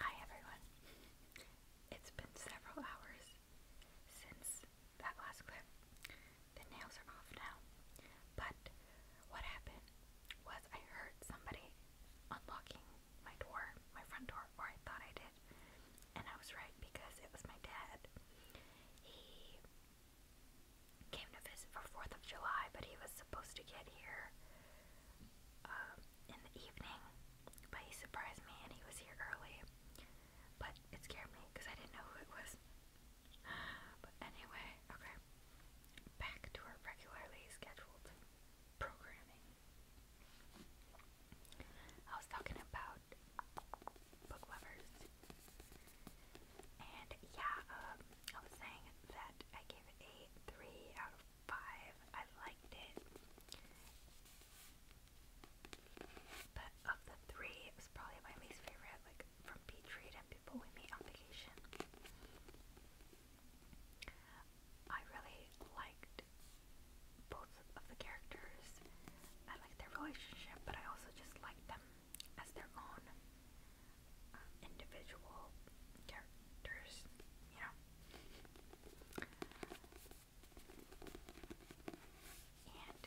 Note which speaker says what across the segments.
Speaker 1: Hi everyone. It's been several hours since that last clip. The nails are off now. But what happened was I heard somebody unlocking my door, my front door, or I thought I did. And I was right because it was my dad. He came to visit for 4th of July, but he was supposed to get here um, in the evening, but he surprised me and he was here early. But it scared me because I didn't know who it was. But anyway, okay. Back to our regularly scheduled programming. I was talking about book lovers. And yeah, um, I was saying that I gave it a 3 out of five. I liked it. But of the three, it was probably my least favorite, like from Beach and People We Meet on Vacation. I really liked both of the characters. I liked their relationship, but I also just like them as their own um, individual characters there's, you know. And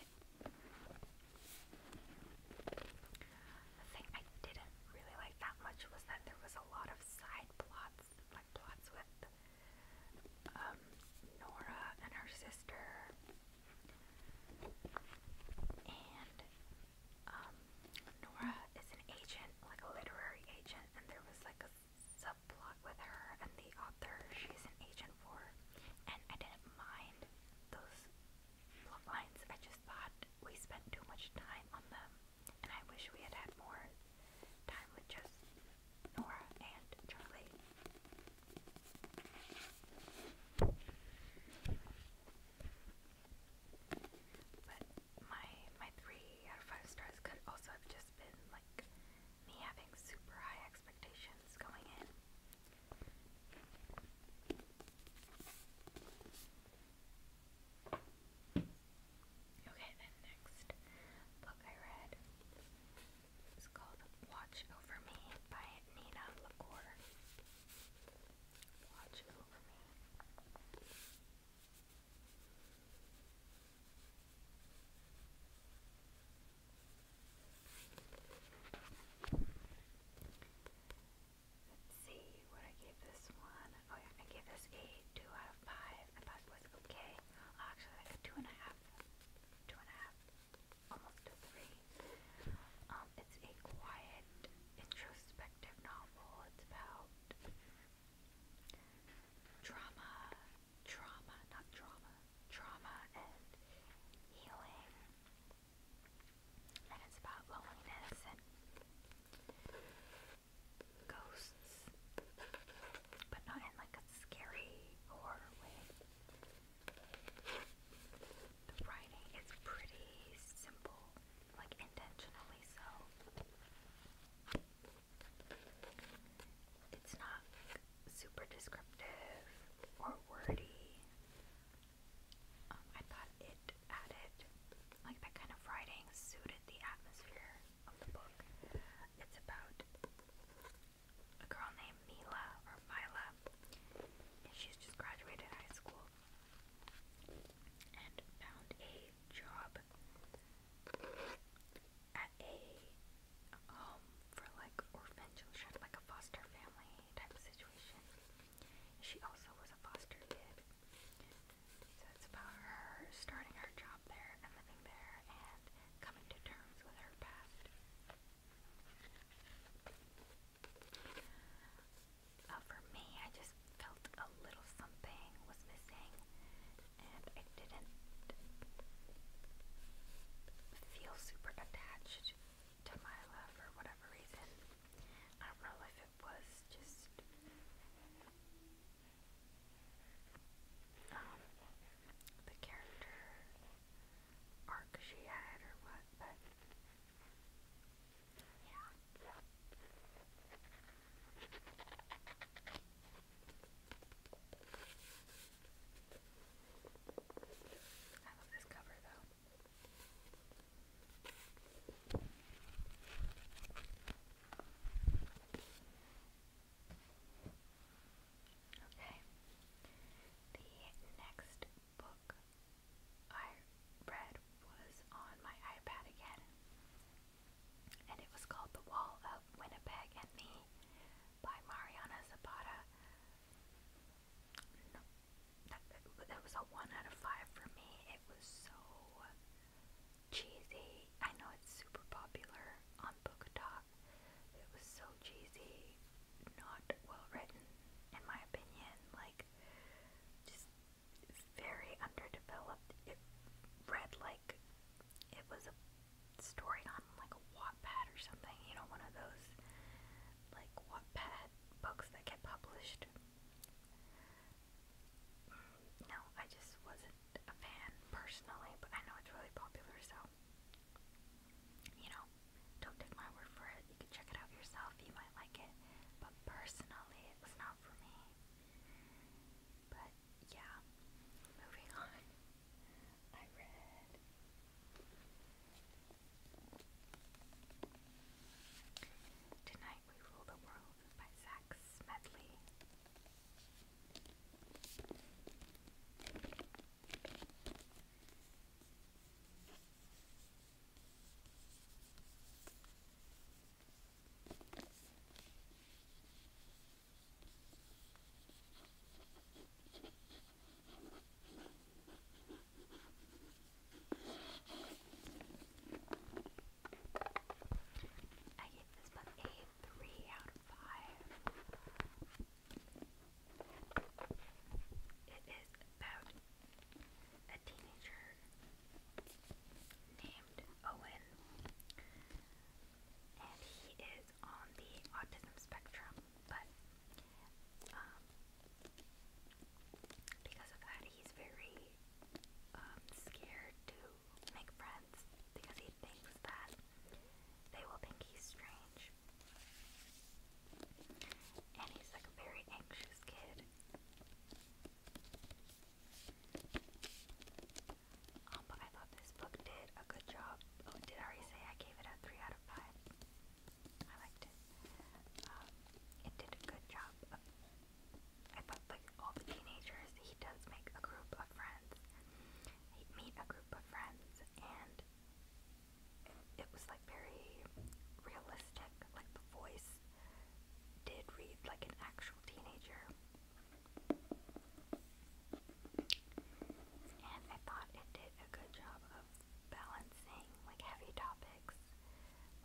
Speaker 1: the thing I didn't really like that much was that there was a lot of side plots, like plots with um, Nora and her sister. And um, Nora is an agent, like a literary agent, and there was like a subplot with her and the author she's an agent for. And I didn't mind those plot lines. I just thought we spent too much time on them. And I wish we had had more time with just Nora and Charlie. But my my three out of five stars could also have just been like me having super high expectations going in. Okay, then next book I read is called Watch Over Me by Nina LaCour. Watch Over Me. Let's see what I gave this one. Oh yeah, I gave this a two out of five. I thought was okay. Oh, actually, like a two and a half, two and a half, almost a three. Um, it's a quiet, introspective novel. It's about Trauma, trauma, not drama. trauma and healing. And it's about loneliness ghosts, but not in like a scary horror way. The writing is pretty simple like intentionally so. It's not super descriptive or wordy. Um, I thought it added, like that kind of writing suited the atmosphere of the book. It's about a girl named Mila or Mila, and she's just graduated high school and found a job at a home um, for like orphan children, like a foster family type of situation. She also was a foster kid. So it's about her starting her job there and living there and coming to terms with her past. Oh, for me, I just felt a little something was missing, and I didn't feel super attached to my love for whatever reason. I don't know if it was just um, the character arc she had or what, but yeah. I love this cover though. Okay. The next book I read was on my iPad again and it was called The Wall of Winnipeg and Me by Mariana Zapata. that, was a 1 out of 5 for me. It was so cheesy. I know it's super popular on Book It was so cheesy, not well written, in my opinion. Like, just very underdeveloped. It read like it was a story on like a Wattpad or something, you know, one of those like Wattpad books that get published. Mm, no, I just wasn't a fan personally, but I know it's really popular, so you know, don't take my word for it. You can check it out yourself, you might like it, but personally, it not for me. But yeah, moving on. I read Tonight We Rule the World by Zach Smedley. I gave this book a three out of five. It is about a teenager named Owen, and he is on the autism spectrum, but um, because of that, he's very um, scared to make friends because he thinks that they will think he's strange. And he's like a very anxious kid. Um, but I thought this book did a good job. Oh, did I already say I gave it a 3 out of 5? I liked it. Um, it did a good job. I thought, like, all the teenagers, he does make a group of friends. He meet a group of friends, and it was, like, very realistic. Like, the voice did read like an actual teenager. And I thought it did a good job of balancing like heavy topics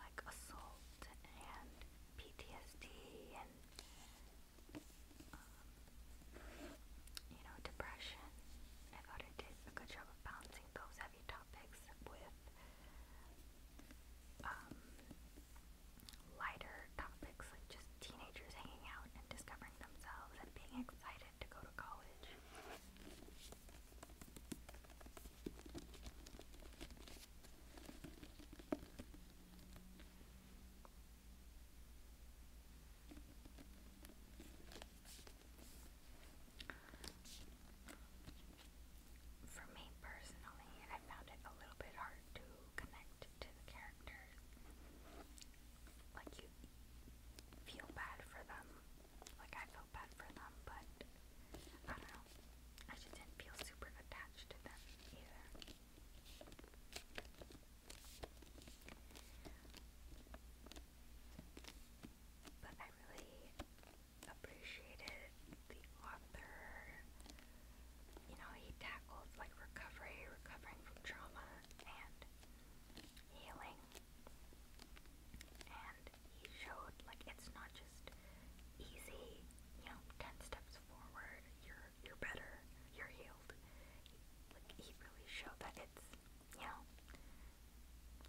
Speaker 1: like assault and PTSD and um, you know, depression. I thought it did a good job of balancing those heavy topics with um, lighter topics like just teenagers hanging out and discovering themselves and being excited to go to college for me personally, I found it a little bit hard to connect to the characters. Like, you feel bad for them. Like, I felt bad for them, but I don't know. I just didn't feel super attached to them either. But I really appreciated the author. You know, he tackled like recovery, recovering from trauma, and healing. And he showed like it's not just easy. You know, ten steps forward, you're you're better, you're healed. like he really showed that it's you know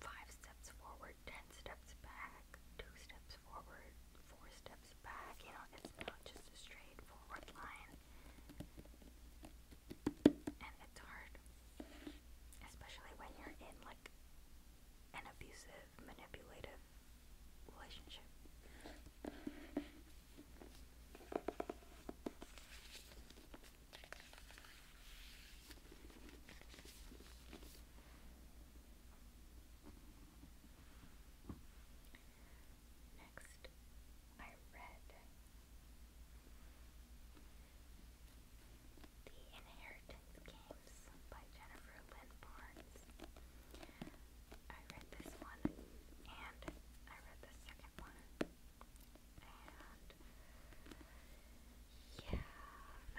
Speaker 1: five steps forward, ten steps back two steps forward, four steps back. You know, it's not just a straightforward line. And it's hard. Especially when you're in like an abusive, manipulative relationship. Next, I read The Inheritance Games by Jennifer Lynn Barnes. I read this one and I read the second one. And yeah,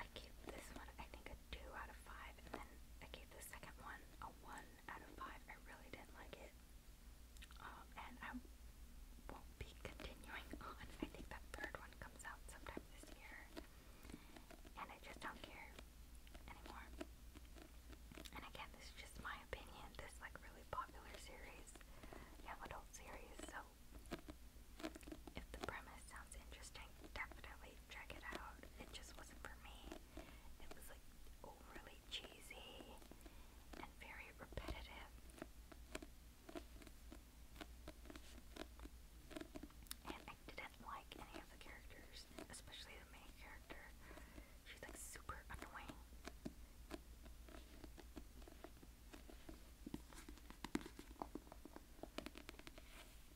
Speaker 1: I gave this one I think a two out of five, and then I gave gave the second one a 1 out of 5. I really didn't like it. Um, and I won't be continuing on. I think that third one comes out sometime this year. And I just don't care anymore. And again, this is just my opinion. This, like, really popular series, young adult series, so if the premise sounds interesting, definitely check it out. It just wasn't for me. It was like overly cheesy and very repetitive. And I didn't like any of the characters, especially the main character. She's like super annoying. But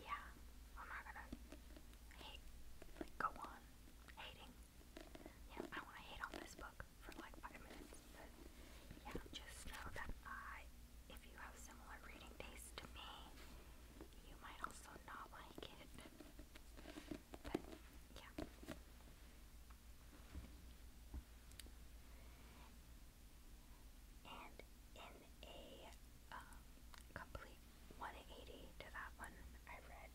Speaker 1: yeah, I'm not gonna go on hating. Yeah, I want to hate on this book for like five minutes, yeah, just know that I, if you have similar reading tastes to me, you might also not like it. But yeah. And in a um, complete 180 to that one, I read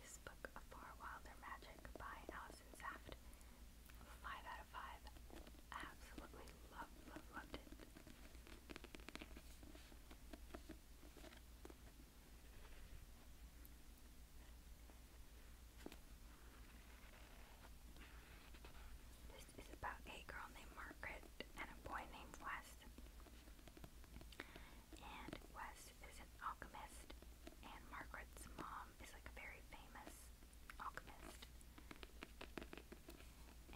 Speaker 1: this book, A Far Wilder Magic by Alison Saft. Five out of five. Absolutely loved, loved, loved it. This is about a girl named Margaret and a boy named Wes. And Wes is an alchemist, and Margaret's mom is like a very famous alchemist.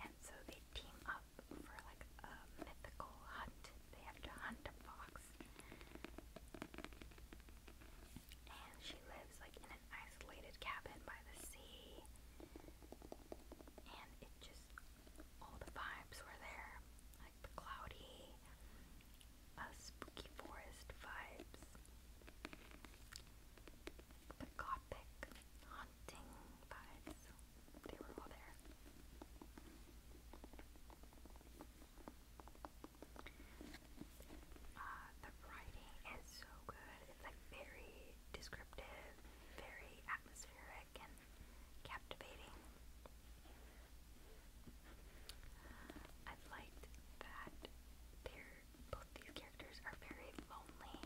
Speaker 1: And so they team up for like a mythical hunt. They have to hunt a fox. And she lives like in an isolated cabin by the sea. And it just all the vibes were there. Like the cloudy, uh, spooky forest vibes. The gothic haunting vibes, they were all there. Uh, the writing is so good. It's like very descriptive, very atmospheric, and captivating. I liked that there both these characters are very lonely.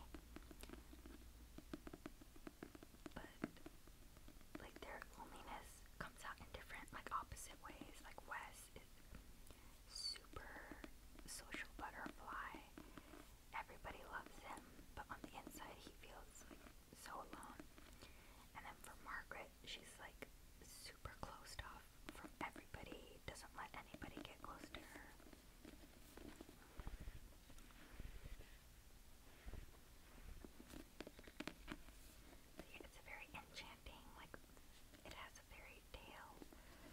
Speaker 1: But like their loneliness comes out in different like opposite ways. Like Wes is super social butterfly. Everybody loves him, but on the inside he feels so alone. And then for Margaret, she's like super closed off from everybody, doesn't let anybody get close to her. It's a very enchanting, like, it has a fairy tale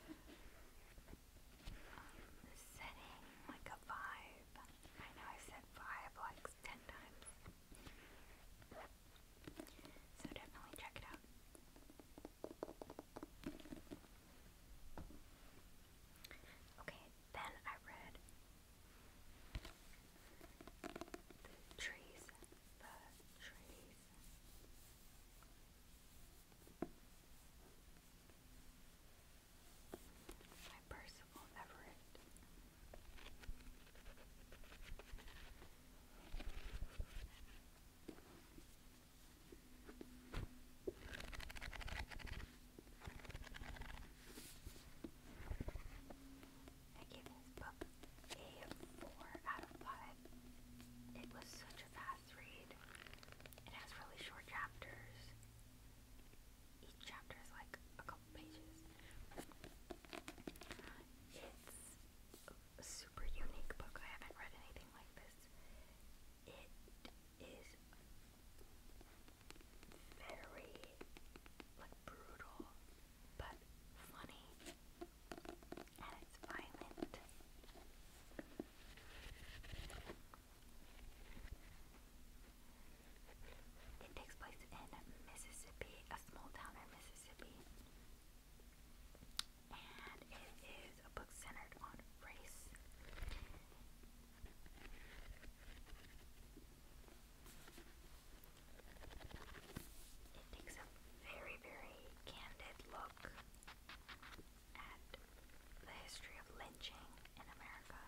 Speaker 1: um, setting, like a vibe. I know i said vibe like ten times. So definitely check it out. Okay, then I read the trees, the trees. By Percival Everett. I give this book a 4 out of 5. It was such a fast read. It has really short chapters. Each chapter is like a couple pages. It's a super unique book. I haven't read anything like this it is very like brutal but funny and it's violent. It takes place in Mississippi, a small town in Mississippi and it is a book centered on race. It takes a very, very candid look at the history of lynching in America.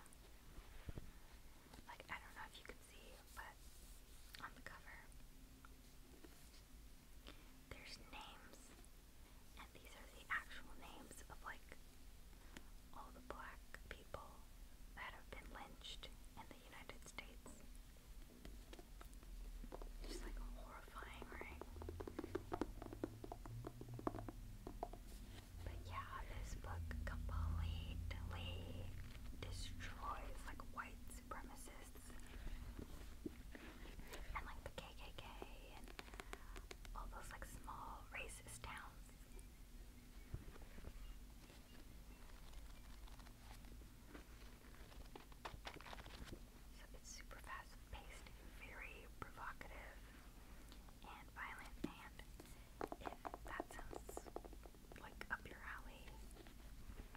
Speaker 1: Like, I don't know if you can see, but on the cover, there's names, and these are the actual names of like all the black people that have been lynched in the United States. Just like horrifying, right? But yeah, this book completely destroys like white supremacists and like the KKK and all those like small racist towns. So it's super fast paced, very provocative and violent, and if that sounds like up your alley,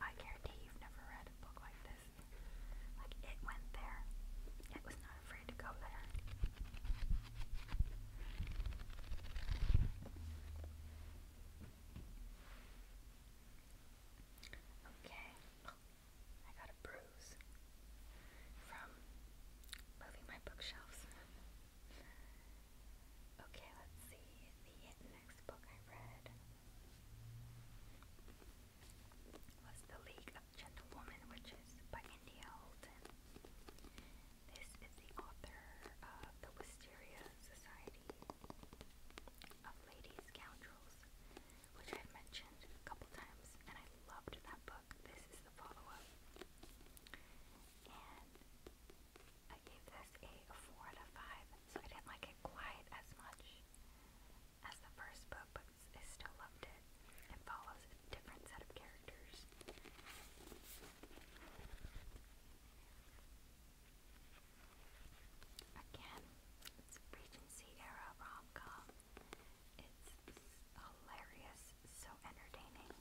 Speaker 1: I guarantee you've never read a book like this. Like it went there. It was not afraid to go there. Okay. I got a bruise from moving my bookshelves. Okay, let's see the next book I read was The League of Gentlewomen Witches by India Holden. This is the author of The Wisteria Society of Lady Scoundrels, which I've mentioned a couple times, and I loved that book. This is the follow up. And I gave this a 4 out of 5, so I didn't like it quite as much. As the first book but is still loved it, it follows a different set of characters. Again, it's Regency era rom com. It's hilarious, so entertaining.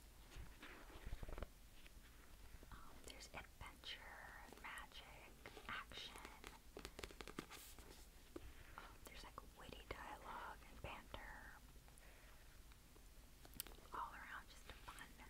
Speaker 1: Um, there's adventure, magic, action. Um, there's like witty dialogue and banter. All around, just a fun time.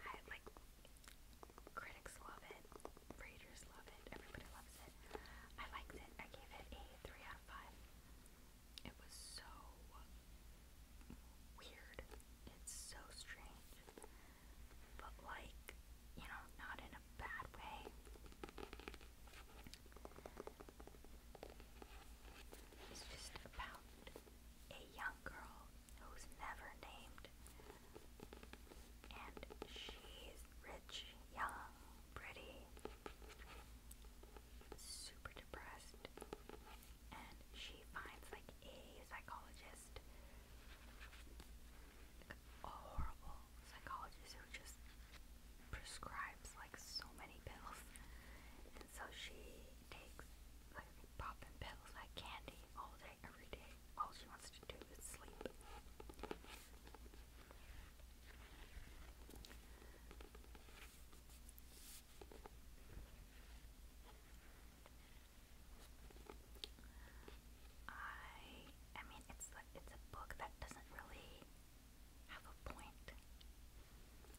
Speaker 1: I like critics love it, readers love it, everybody loves it. I liked it. I gave it a three out of five. It was so weird. It's so strange. But like, you know, not in a bad way. It's just about a young girl who's never named. And she's rich, young, pretty, super depressed. And she finds like a psychologist, like, a horrible psychologist who just prescribes like so many pills. And so she takes like popping pills like candy all day, every day. All she wants to do is sleep. I I mean it's like it's a book that doesn't really have a point.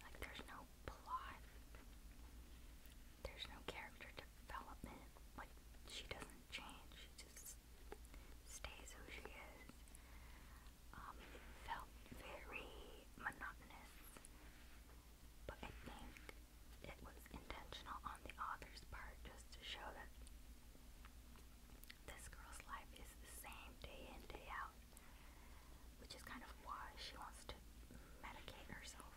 Speaker 1: Like there's no plot there's no character development. Like, she doesn't change, she just stays who she is. it um, felt very monotonous, but I think it was intentional on the author's part just to show that this girl's life is the same day in, day out which is kind of why she wants to medicate herself.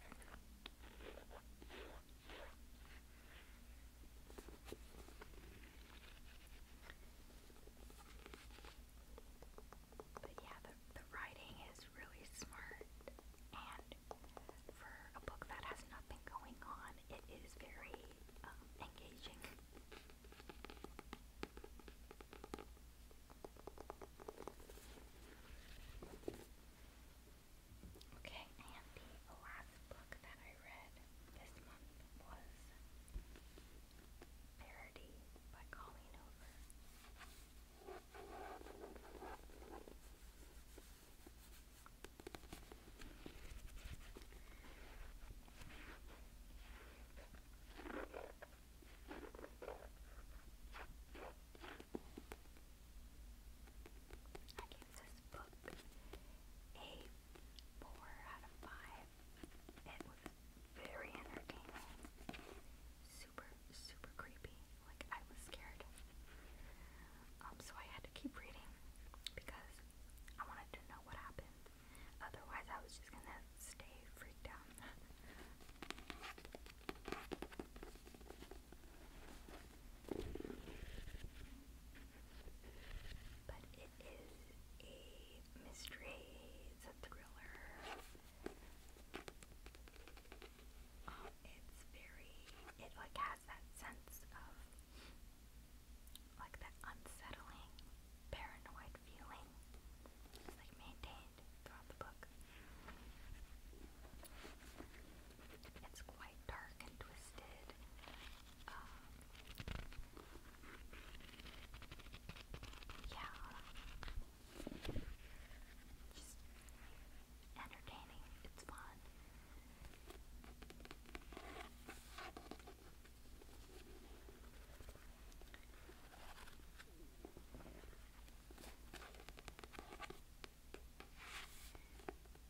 Speaker 1: But yeah, the, the writing is really smart, and for a book that has nothing going on, it is very um, engaging. Okay, and the last book that I read this month was Parody by Colleen Over. I gave this book a 4 out of 5. It was very entertaining. Super, super creepy. Like, I was scared. Um, so I had to keep reading because I wanted to know what happened. Otherwise, I was just gonna stay freaked out. But it is a mystery, it's a thriller. Um, it's very, it like has that sense of like that unsettling, paranoid feeling. It's like maintained throughout the book. It's quite dark and twisted. Um, yeah. Just entertaining. It's fun.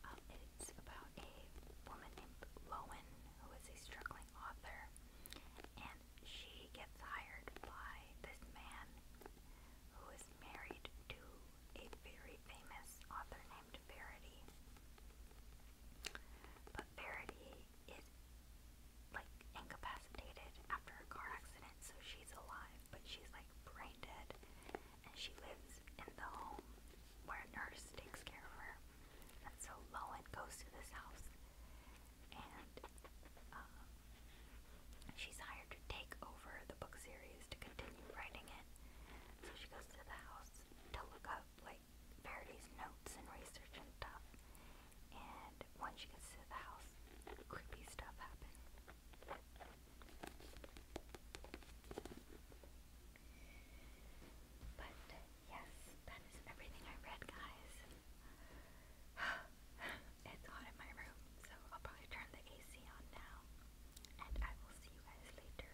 Speaker 1: Um, it's about a woman named Lowen who is a struggling author, and she gets hired by this man who is married to a very famous author named Verity. But Verity is like incapacitated after a car accident, so she's alive, but she's like brain dead. And she lives in the home where a nurse takes care of her. And so Lowen goes to this house and uh, she's hired to take over the book series to continue writing it. So she goes to the house to look up like Verity's notes and research and stuff. And once you get to the house, creepy stuff happens. But yes, that is everything I read, guys. it's hot in my room, so I'll probably turn the AC on now. And I will see you guys later.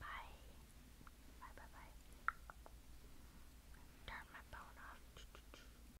Speaker 1: Bye. Bye bye bye. Turn my phone off.